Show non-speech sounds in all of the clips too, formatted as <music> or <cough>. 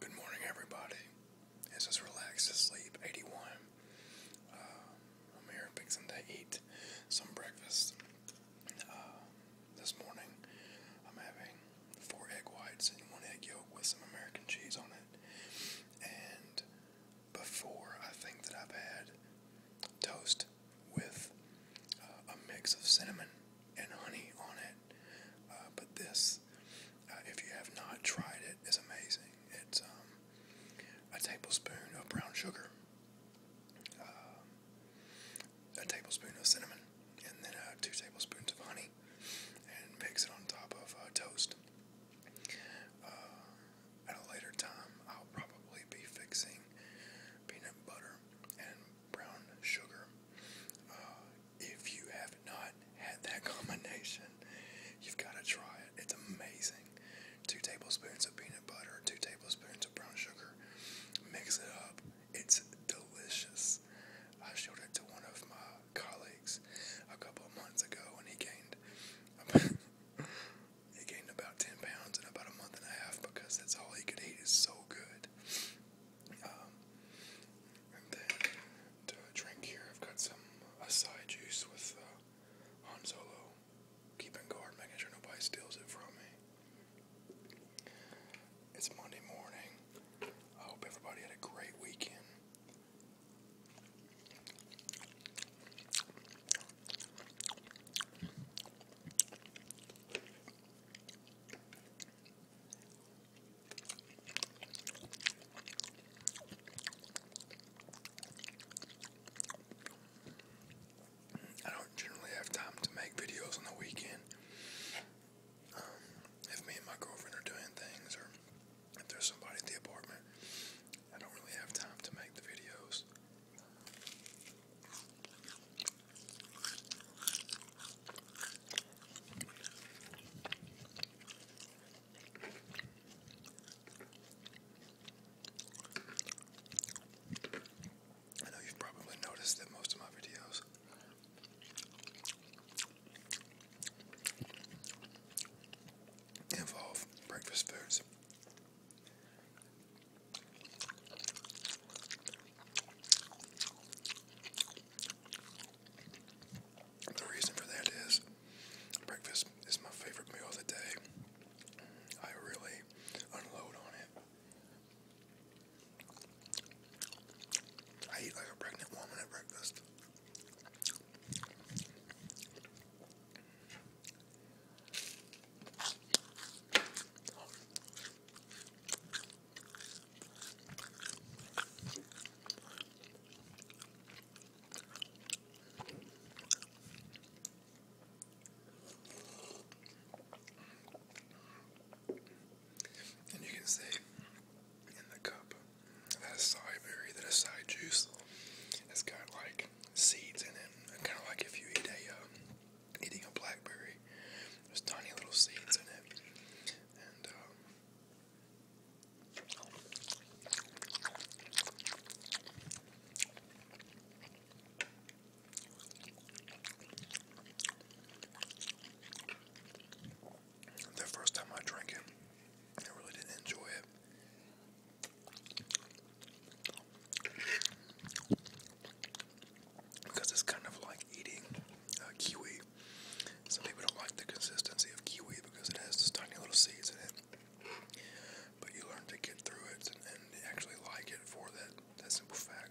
Good morning, everybody. It's just Relax to Sleep 81. Um, I'm here fixing to eat some breakfast. Uh, this morning, I'm having four egg whites and one egg yolk with some American cheese on it. And before, I think that I've had toast with uh, a mix of cinnamon and honey on it. Uh, but this, uh, if you have not tried it, is amazing. It's um, a tablespoon of brown sugar, uh, a tablespoon of cinnamon, and then uh, two tablespoons of honey, and mix it on top of toast. at a later time, I'll probably be fixing peanut butter and brown sugar if you have not had that <laughs> combination, you've got to try it. It's amazing. Two tablespoons of peanut butter, two tablespoons of brown sugar. Mix it up. It's delicious. I showed it to one of my colleagues a couple of months ago, and he gained about, <laughs> he gained about ten pounds in about a month and a half because that's all he could eat. Is so good. Um, and then drink here, I've got some acai juice with uh, Han Solo. Keeping guard, making sure nobody steals it from me. It's Monday morning. I hope everybody had a great weekend. I don't generally have time to make videos on the weekend. Um, if me and my girlfriend are doing things, or if there's somebody at the apartment, I don't really have time to make the videos. I know you've probably noticed that most of my videos involve breakfast foods. The reason for that is breakfast is my favorite meal of the day. I really unload on it. I eat like a pregnant woman at breakfast. And you can see in the cup that a side berry, that a side juice, it's got like seeds in it, kind of like if you eat a um, eating a blackberry. There's tiny little seeds in it, and um, the first time I drank it, I really didn't enjoy it because it's kind of like eating uh, kiwi. Some people don't like the consistency of kiwi because it has these tiny little seeds in it. But you learn to get through it and, and actually like it for that, that simple fact.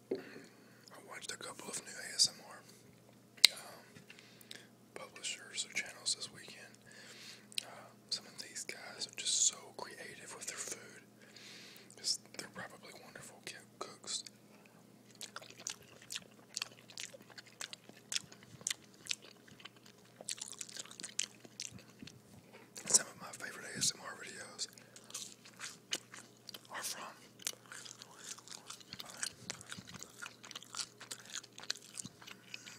I watched a couple of new ASMR um, publishers or channels this weekend. Uh, some of these guys are just so creative with their food. Just, they're probably wonderful cooks. Some of my favorite ASMR videos are from.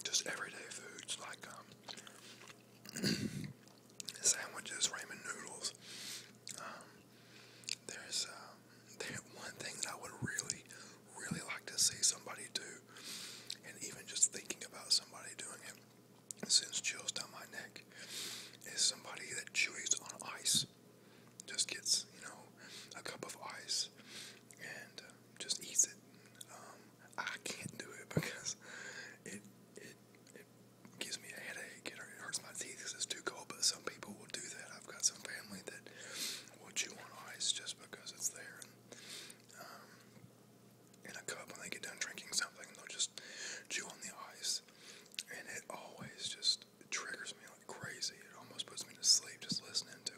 Just everyday foods like um, <clears throat> sandwiches, ramen noodles. Um, there's um, one thing that I would really, really like to see somebody do, and even just thinking about somebody doing it sends chills down my neck. Is somebody that chews on ice. Just gets, you know, a cup of ice and uh, just eats it. Um, I can't do it <laughs> because it it it gives me a headache. It hurts my teeth because it's too cold. But some people will do that. I've got some family that will chew on ice just because it's there. And, um, in a cup when they get done drinking something, they'll just chew on the ice, and it always just just triggers me like crazy. It almost puts me to sleep just listening to it.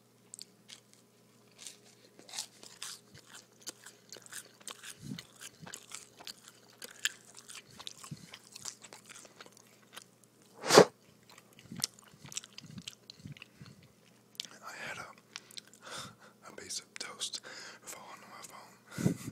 I had a, a piece of toast fall onto my phone.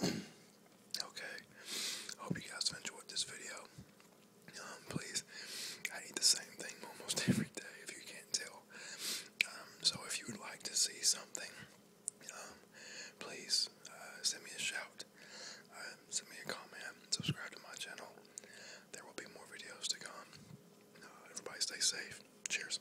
okay. Hope you guys enjoyed this video. Um, please, I eat the same thing almost <laughs> every day if you can't tell. Um, so if you would like to see something, um, please uh, send me a shout, send me a comment, subscribe to my channel. There will be more videos to come. Uh, everybody stay safe. Cheers.